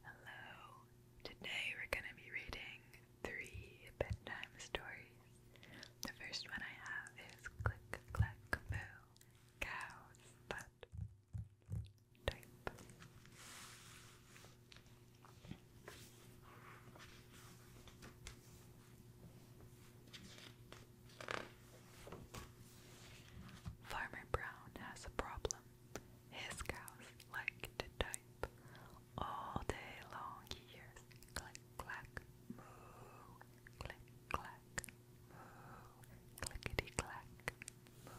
Hello. Today we're going to be reading three bedtime stories. The first one I have is Click Clack Moo, Cow's Butt Farmer Brown has a problem. His cows like to type all day long. He hears click clack moo, click clack moo, clickety clack moo.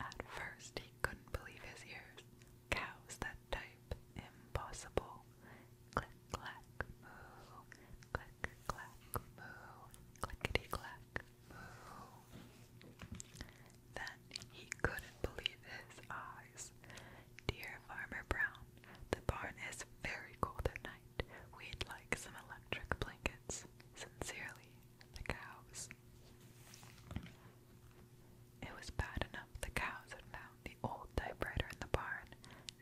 At first, he couldn't believe his ears. Cows that type, impossible click clack moo, click clack moo, clickety clack moo. Then he couldn't believe his eyes. Dear Farmer Brown, the barn is very cold at night. We'd like some electric blankets. Sincerely, the cows. It was bad enough the cows had found the old typewriter in the barn.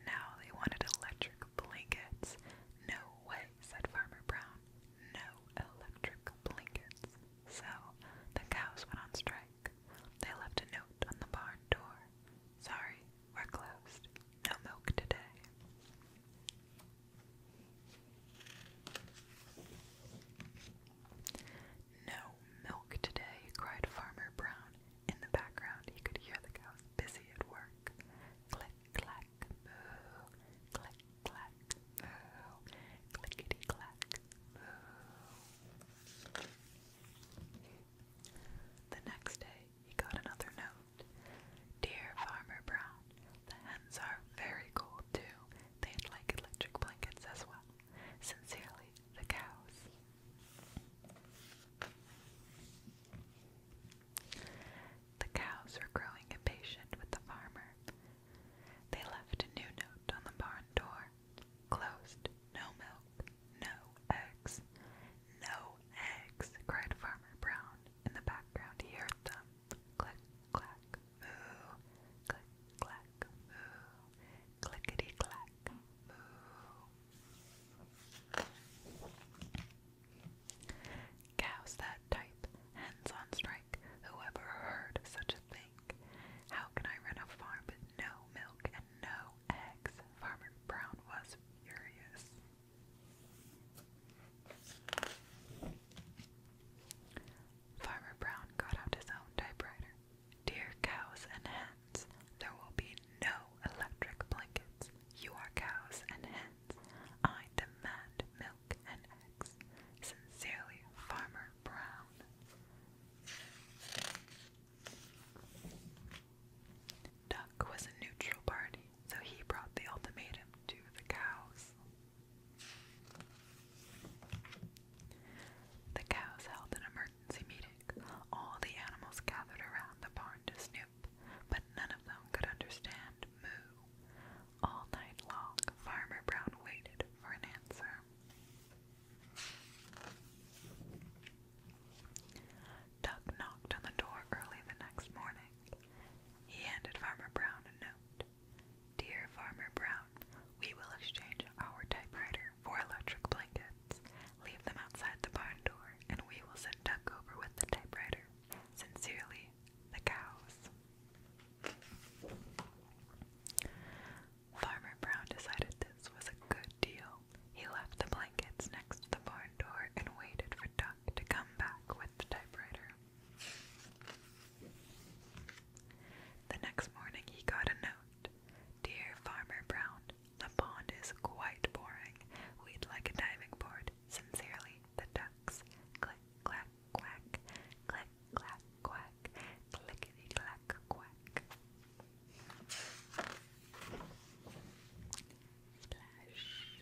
Now they wanted electric blankets. No way, said Farmer Brown. No electric blankets. So the cows went on strike. They left a note on the barn door. Sorry, we're closed. No milk today. No milk today, cried Farmer Brown. In the background, he could hear the cows busy at work. Click, clack, moo. Click, clack, moo. Clickety, clack, moo. The next day, he got another note. Dear Farmer Brown, the hens are very cold too. They'd like electric blankets as well. Sincerely, the cows. The cows were growing impatient with the farmer. They left a new note on the barn door. Closed. No milk. No eggs. No eggs, cried Farmer Brown. In the background he heard them. Click, clack, moo. Click, clack, moo. Clickety clack, moo. Cows that type, hens on strike, Who ever heard such a thing? How can I run a farm with no milk and no eggs? Farmer Brown was furious. Farmer Brown got out his own typewriter. Dear cows and hens, there will be no electric blankets. You are cows and hens. I demand milk and eggs. Sincerely, Farmer Brown. Duck was a neutral party, so he brought the ultimatum to the cows. The cows held an emergency emergency meeting, all the animals gathered around the barn to snoop, but none of them could understand moo. All night long, Farmer Brown waited for an answer. Duck knocked on the door early the next morning. He handed Farmer Brown a note. Dear Farmer Brown, we will exchange our typewriter for electric blankets. Leave them outside the barn door, and we will send Duck over with the typewriter. Sincerely, the cows. Farmer Brown decided this was a good deal. He left the blankets next to the barn door and waited for Duck to come back with the typewriter. The next morning he got a note. Dear Farmer Brown, the pond is quite boring. We'd like a diving board. Sincerely, the ducks. Click, clack, quack. Click, clack, quack. Clickety, clack, quack. Splash.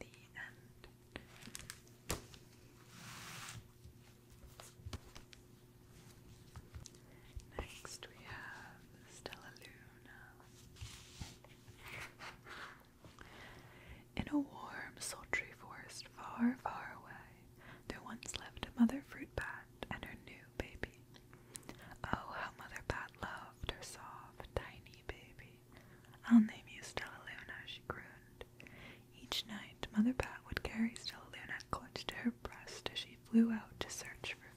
The end. Next we have Stella Luna. In a warm, sultry forest far, far away, there once lived a mother fruit bat and her new baby. Oh, how Mother Bat loved her soft, tiny baby. I'll name you Stella Luna, she groaned. Each night, Mother Bat would carry Stella Luna clutched to her breast as she flew out to search for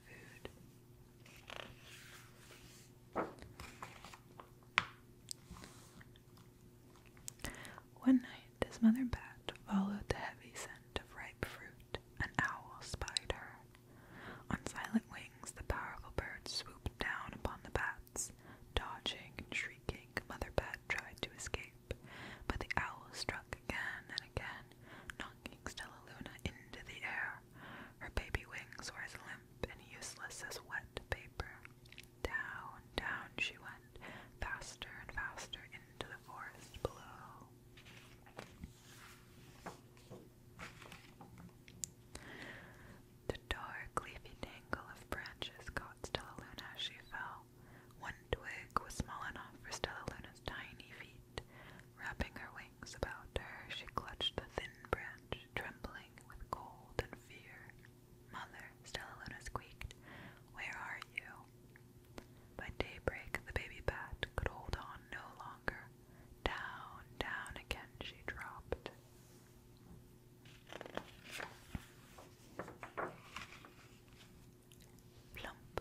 one night, his mother bat followed the heavy scent of ripe fruit. An owl spider, On silent wings, the powerful bird swooped down upon the bats. Dodging and shrieking, Mother Bat tried to escape, but the owl struck again and again, knocking Stella Luna into the air. Her baby wings were as limp and useless as wet paper. Down, down she went, faster and faster into the forest below. The dark, leafy tangle of branches caught Stella Luna as she fell. One twig was small enough for Stella Luna's tiny feet Wrapping her wings about her, she clutched the thin branch, trembling with cold and fear. Mother, Stella Luna squeaked, where are you? By daybreak, the baby bat could hold on no longer. Down, down again she dropped. Plump!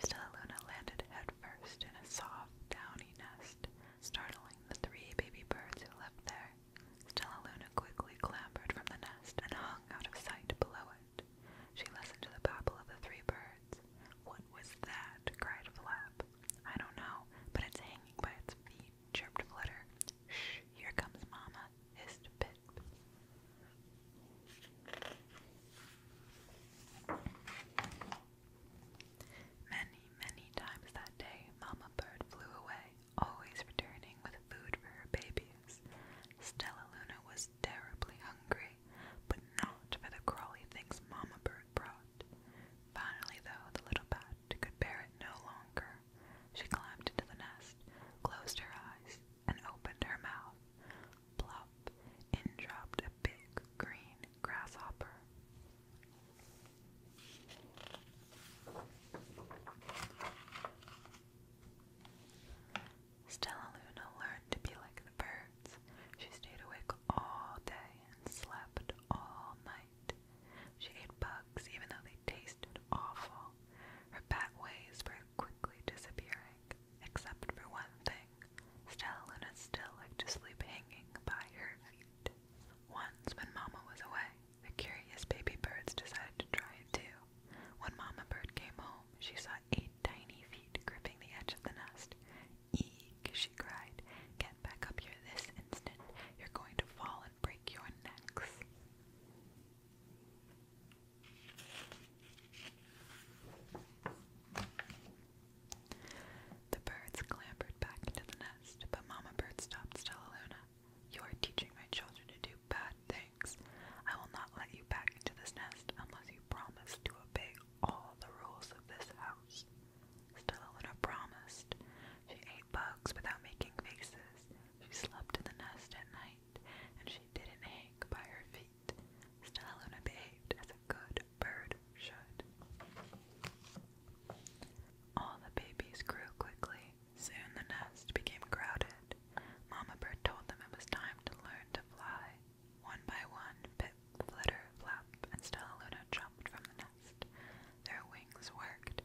Stellaluna landed headfirst in a soft, downy nest, startling the three baby birds who lived there. Stellaluna quickly clambered from the nest and hung out of sight below it. She listened to the babble of the three birds. What was that? cried Flap. I don't know, but it's hanging by its feet, chirped Flutter. Shh, here comes Mama, hissed Pip. Many, many times that day, Mama Bird flew away, always returning with food for her babies. Stella Luna was terribly hungry, but not for the crawly things Mama Bird brought. Finally, though, the little bat could bear it no longer. She climbed into the nest, closed her eyes, and opened her mouth plop, in dropped a big green grasshopper. Stella Luna learned to be like the birds. She stayed awake all day and slept all night. She ate bugs even though they tasted awful. Her bat ways were quickly disappearing except for one thing. Stellan is still like to sleep hanging by her feet. Once, when Mama was away, the curious baby birds decided to try it too. When Mama Bird came home, she saw eight tiny feet gripping the edge of the nest. Eek, she cried. Get back up here this instant. You're going to fall and break your necks. The birds clambered back into the nest, but Mama Bird stopped Stella Luna. You are teaching my children to do bad things. I will not let you back into this nest unless you promise to obey all the rules of this house. Stella Luna promised. She ate bugs without making faces. She slept in the nest at night, and she didn't hang by her feet right. Stellaluna behaved as a good bird should. All the babies grew quickly. Soon the nest became crowded. Mama bird told them it was time to learn to fly. One by one, Pip, Flitter, Flap, and Stella Luna jumped from the nest. Their wings worked.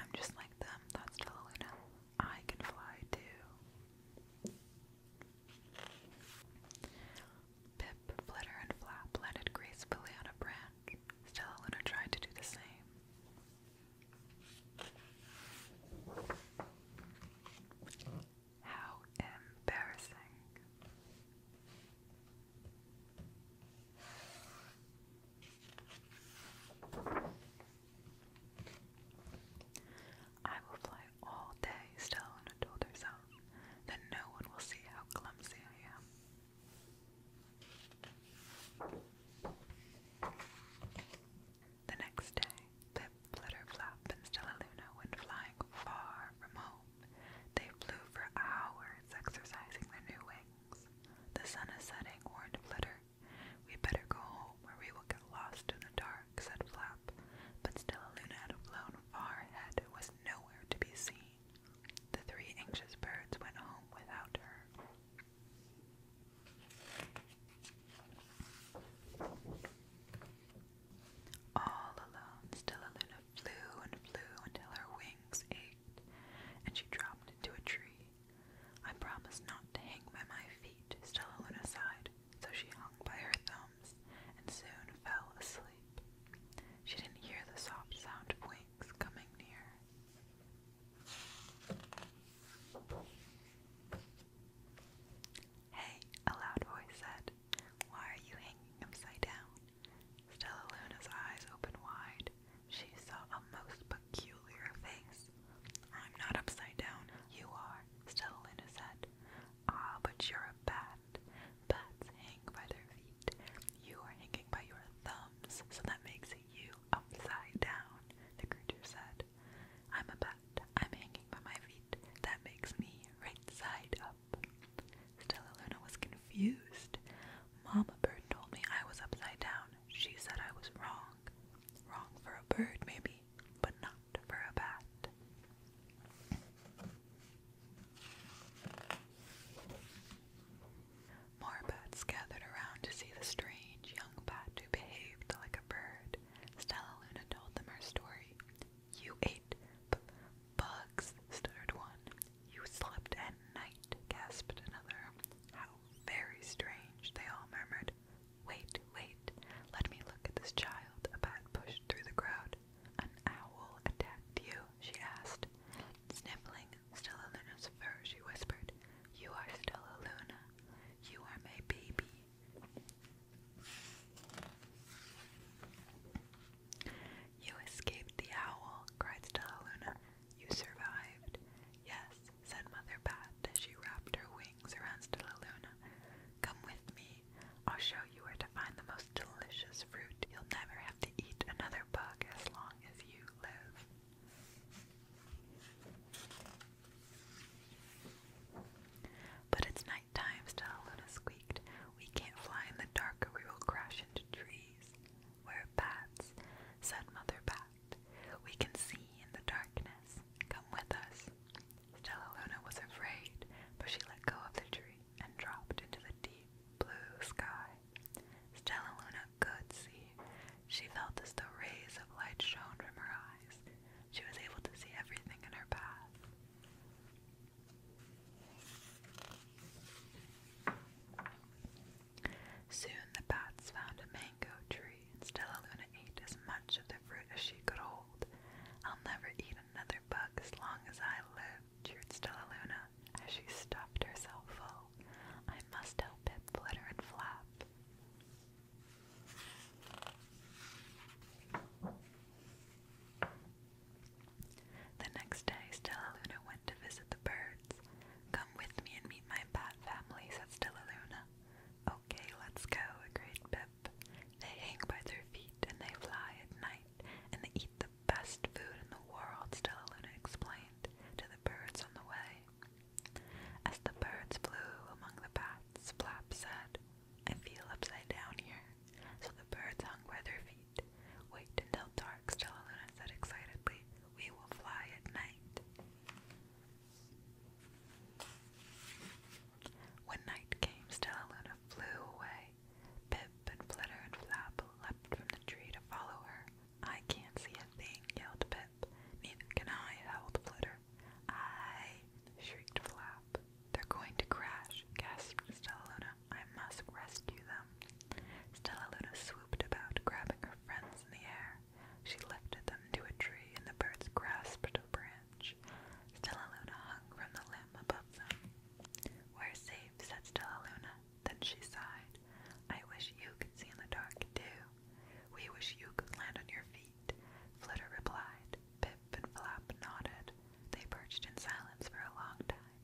I'm just like them, thought Stella Luna. I can fly too. Pip, Flitter, and Flap landed gracefully on a branch. Stella Luna tried to do the same. How embarrassing. I will fly all day, Stone told herself. Then no one will see how clumsy I am. The next day, Pip, Flutterflap, and Stella Luna went flying far from home. They flew for hours, exercising their new wings. The sun is setting, warned Flutter. We better go home, or we will get lost in the dark said Flap, but still Luna had flown far ahead, was nowhere to be seen. The three anxious birds went home without her. All alone, still Luna flew and flew until her wings ached, and she dropped into a tree. I promise not to hang by my feet, Stella Luna sighed so she hung by her thumbs and soon fell asleep. She didn't hear the soft sound of wings coming near. Hey, a loud voice said, Why are you hanging upside down? Stella Luna's eyes opened wide. She saw a most peculiar face. I'm not upside down. You are, Stellaluna said. Ah, but you're a bat. Bats hang by their feet. You are hanging by your thumbs, so that makes you upside down, the creature said. I'm a bat. I'm hanging by my feet. That makes me right side up. Stella Luna was confused. Mama bird told me I was upside down. She said I was wrong. Wrong for a bird, maybe, but not for a bat. More bats gathered around to see the strange young bat who behaved like a bird. Stella Luna told them her story. You ate bugs, stuttered one. You slept at night, gasped another. How very strange, they all murmured. Wait, wait, let me look at this child, a bat pushed through the crowd. An owl attacked you, she asked. Sniffling still a Luna's fur, she whispered. You are still a Luna. You are my baby. You escaped the owl, cried Stella Luna. You survived. Yes, said Mother Bat as she wrapped her wings around Stella Luna. Come with me. I'll show you where to find the most delicious fruit. You'll never have to eat another bug as long as you live. But it's night time, Stella Luna squeaked. We can't fly in the dark or we will crash into trees. We're bats, said Mother Bat we can see in the darkness. Come with us. Stellaluna was afraid, but she let go of the tree and dropped into the deep blue sky. Stellaluna could see. She felt as though rays of light shone from her eyes. She was able to see everything in her path. Soon the bats found a man mango tree, and Stella Luna ate as much of the fruit as she could hold. I'll never eat another bug as long as I live, cheered Stella Luna as she stuffed herself full. I must help it flutter and flap. The next day, Stella Luna went to visit the birds. Come with me and meet my bat family, said Stella Luna. Oh, Okay, let's go, agreed Pip. They hang by their feet and they fly at night and they eat the best food in the world, Stella Luna explained to the birds on the way. As the birds flew among the paths, Flap said, I feel upside down here. So the birds hung by their feet. Wait until dark, Stella Luna said excitedly. We will fly at night. When night came, Stella Luna flew away. Pip and Flitter and Flap leapt from the tree to follow her. I can't see a thing, yelled Pip. Neither can I, howled Flitter. I shrieked Flap. They're going to crash, gasped Stella Luna. I must rescue them. Stella Luna swooped about, grabbing her friends in the air. She lifted them to a tree, and the birds grasped a branch. Stella Luna hung from the limb above them. We're safe, said Stella Luna. Then she sighed. I wish you could see in the dark, too. We wish you could land on your feet. Flutter replied. Pip and Flap nodded. They perched in silence for a long time.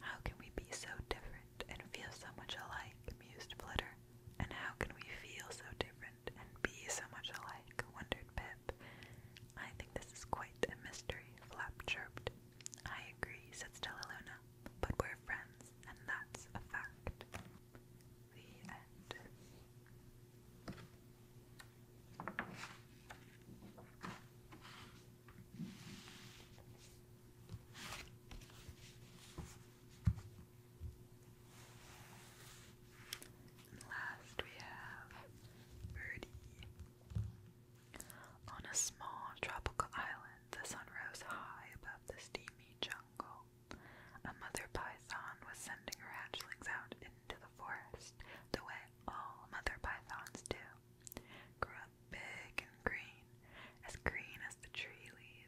How can we be so different and feel so much alike? mused Flitter. And how can we feel so different and be so much alike? wondered Pip. I think this is quite a mystery, Flap chirped. I agree, said Stella Luna, but we're friends, and that's a fact. The end last we have Birdie. On a small tropical island, the sun rose high above the steamy jungle. A mother python was sending her hatchlings out into the forest, the way all mother pythons do. Grew up big and green, as green as the tree leaves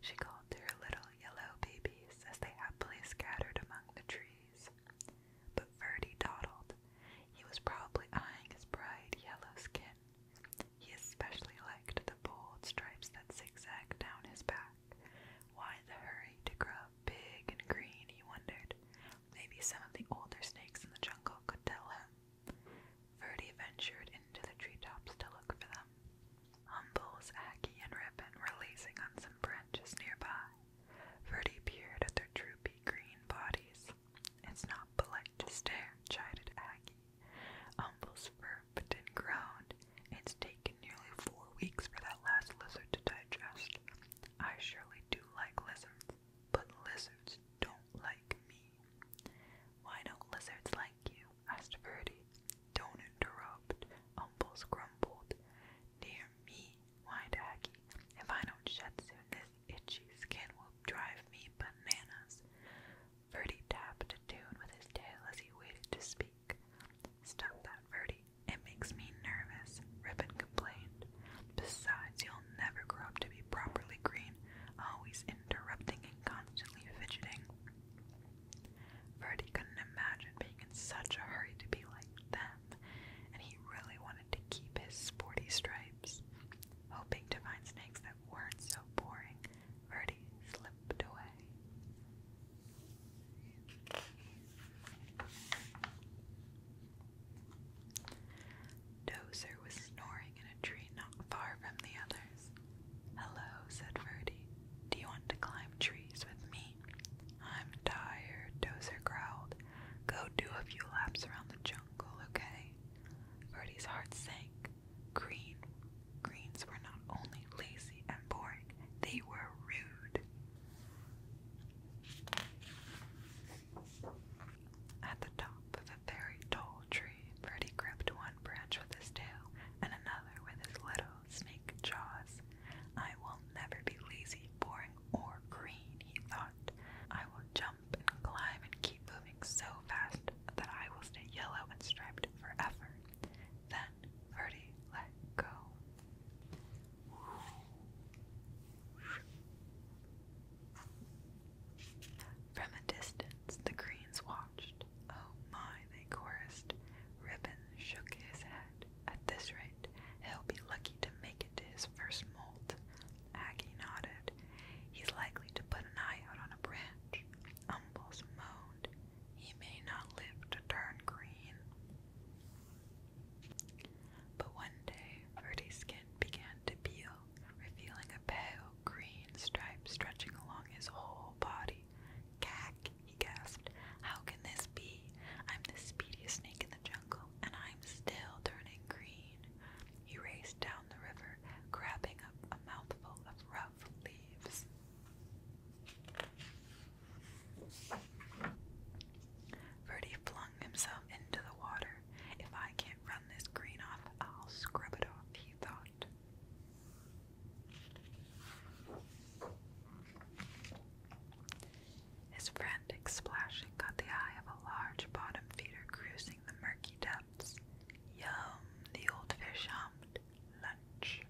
she called to her little yellow babies as they happily scattered among the trees. But Ferdie dawdled. He was probably eyeing his bright yellow skin. He especially liked the bold stripes that zigzagged down his back. Why the hurry to grow big and green, he wondered. Maybe some of the older snakes in the jungle could tell him. Ferdy ventured into the treetops to look for them. Humbles, Aggie, and Ribbon were lazing on some branches nearby. Ferdy peered at their droopy green bodies. It's not polite to stare, chided Aggie. Humbles burped and groaned. It's taken nearly four weeks for that last lizard to digest. I surely do like lizards, but lizards don't like me. Why don't lizards like you? asked Ferdy. Don't interrupt, Umbles grumbled. Dear me, whined Aggie. If I don't shut soon, this itchy skin will drive me bananas. Ferdy tapped a tune with his tail as he waited to speak. Stop that, Ferdy. It makes me nervous, Ribbon complained. Besides, you'll never grow up to be properly green, always interrupting and constantly fidgeting. Freddie couldn't imagine being in such a hurry to be like them, and he really wanted to keep his sporty stripes. Hoping to find snakes that weren't so boring, Verdi slipped away. Dozer was snoring cowering in a tree not far from the others. Hello, said Ferdy. Do you want to climb trees with me? I'm tired, Dozer growled. Go do a few laps around the jungle, okay? Ferdy's heart sank. Green greens were not only lazy and boring, they were rude. At the top of a very tall tree, Freddie gripped one branch with his tail and another with his little snake jaws. I will never be lazy, boring, or green, he thought. I will jump and climb and keep moving so fast that I will stay yellow and striped forever. Then Ferdy let go. From a distance, the greens watched Oh my, they chorused. Ribbon shook his head. At this rate, he'll be lucky to make it to his first molt. Aggie nodded. He's likely to put an eye out on a branch. Umbles moaned. He may not live to turn green. But one day, Ferdy's skin began to peel, revealing a pale green stripes stretching along his whole body. Cack, he gasped. How can this be? I'm the speediest snake in the jungle, and I'm still turning green. He raced down the river, grabbing up a mouthful of rough leaves. Verdi flung himself into the water. If I can't run this green off, I'll scrub it off, he thought. His frantic splashing caught the eye of a large bottom feeder cruising the murky depths. Yum, the old fish hummed. Lunch.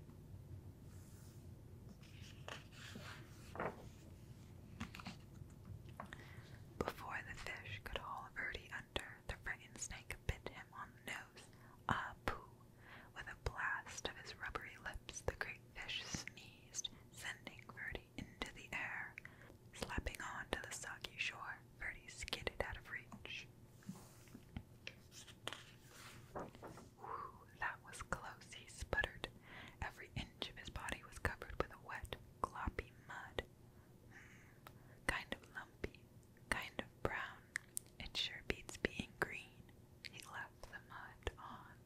Before the fish could haul Verdi the frightened snake bit him on the nose. Ah, With a blast of his rubbery lips, the great fish sneezed, sending Ferdy into the air. Slapping onto the soggy shore, Ferdy skidded out of reach. Whew, that was close, he sputtered. Every inch of his body was covered with a wet, gloppy mud. Mm, kind of lumpy, kind of brown. It sure beats being green. He left the mud on.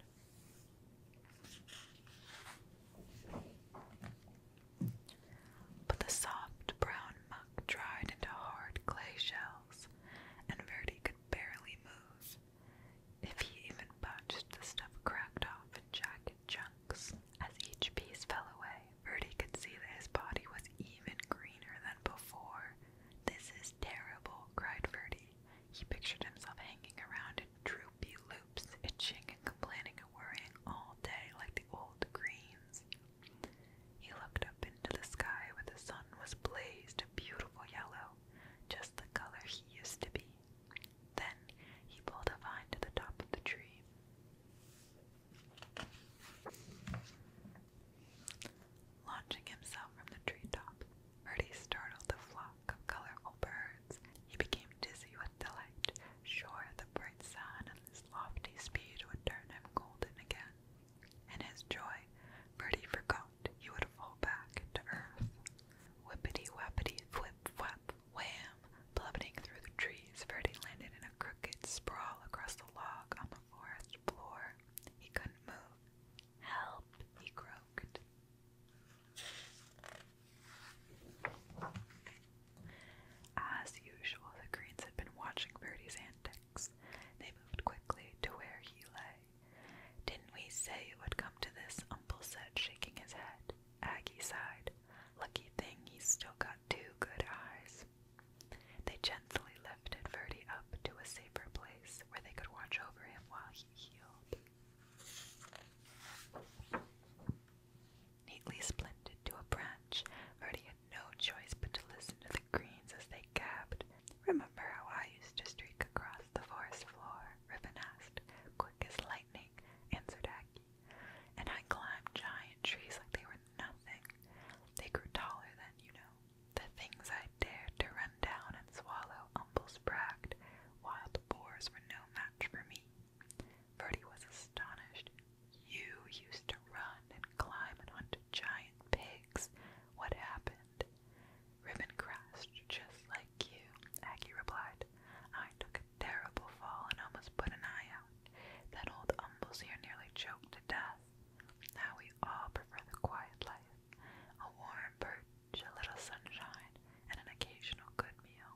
But the soft brown muck dried into hard clay shells, and Verdi could barely move. If he even botched, the stuff cracked off in jagged chunks. As each piece fell away, Verdi could see that his body was even greener than before. This is terrible, cried Verdi. He pictured himself hanging around in droopy loops, itching and complaining and worrying all day like the old greens. He looked up into the sky where the sun was blazed a beautiful yellow, just the color he used to be. Then he pulled a vine to the top of the tree. Launching himself from the treetop, Bertie startled a flock of colorful birds. He became dizzy with delight, sure the bright sun and his lofty speed would turn him golden again. In his joy, Bertie forgot he would fall back to earth. Whippity-wappity, flip-flap, Wham! Plummeting through the trees, Freddy landed in a crooked sprawl across the log on the forest floor. He couldn't move. Help! He croaked. As usual, the Greens had been watching Birdie's antics. They moved quickly to where he lay. Didn't we say it would come to this? Uncle said, shaking his head. Aggie sighed. Lucky thing he's still got two good eyes. They gently lifted Verdi up to a safer place where they could watch over him while he healed. Neatly splinted to a branch, Verdi had no choice but to listen to the greens as they gabbed. Remember how I used to streak across the forest floor? Ribbon asked. Quick as lightning, answered Aggie. And I climbed giant trees like they were nothing. They grew taller than, you know, the things I dared to run down and swallow. Umbles bragged. Wild boars were no match for me. Bertie was astonished. You used to run and climb and hunt giant pigs. What happened? Ribbon crashed just like you, Aggie replied. I took a terrible fall and almost put an eye out. That old umbles here nearly choked to death. Now we all prefer the quiet life, a warm birch, a little sunshine, and an occasional good meal.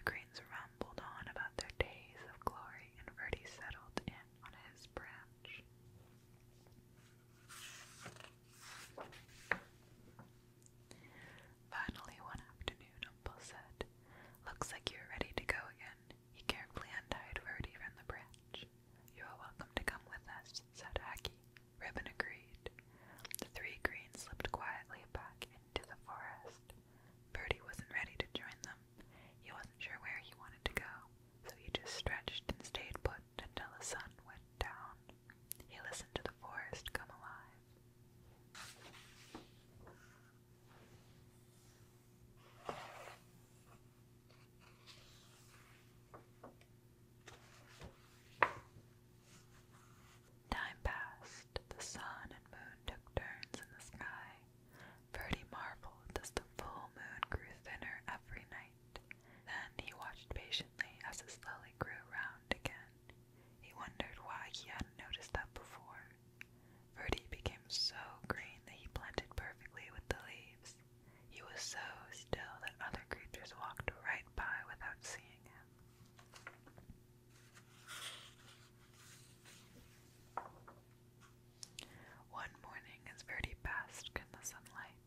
The Greens rumbled on about their days of glory, and Verdi settled in on his branch. Finally, one afternoon, Umple said, Looks like you're ready to go again. He carefully untied Rhodey from the branch. You are welcome to come with us, said Hacky. Ribbon agreed. The three greens slipped quietly back into the forest. Birdie wasn't ready to join them. He wasn't sure where he wanted to go, so he just stretched and stayed put until the sun went down. He listened to the forest come alive. Time passed. The sun and moon took turns in the sky. Ferdy marveled as the full moon grew thinner every night. Then he watched patiently as it slowly grew round again. He wondered why he hadn't noticed that before. Verdi became so green that he blended perfectly with the leaves. He was so still that other creatures walked right by without seeing him. One morning, as Verdi basked in the sunlight,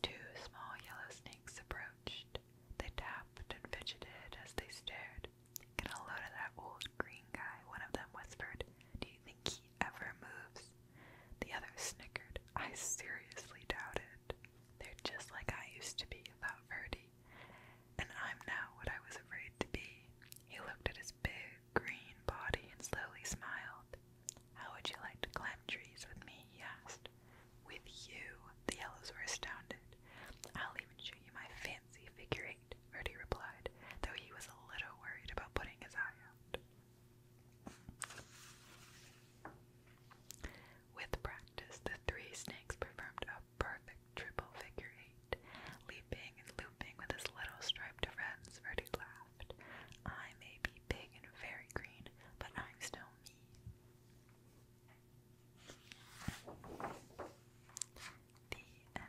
two small yellow snakes approached. They tapped and fidgeted as they stared whispered. Get load of that old green guy, one of them whispered. Do you think he ever moves? The other snickered. I seriously doubt it. They're just like I used to be, thought Verdi. And I'm now what I was afraid to be. He looked at his big green body and slowly smiled. How would you like to climb trees with me? he asked. With you? The yellows were astounded. I'll even show you my fancy figure eight, Verdi replied, though he was a little worried about putting his eye out. With practice, the three snakes performed a perfect triple figure eight. Leaping and looping with his little striped friends, Verdi laughed. I may be big and very green, but I'm still me. The end.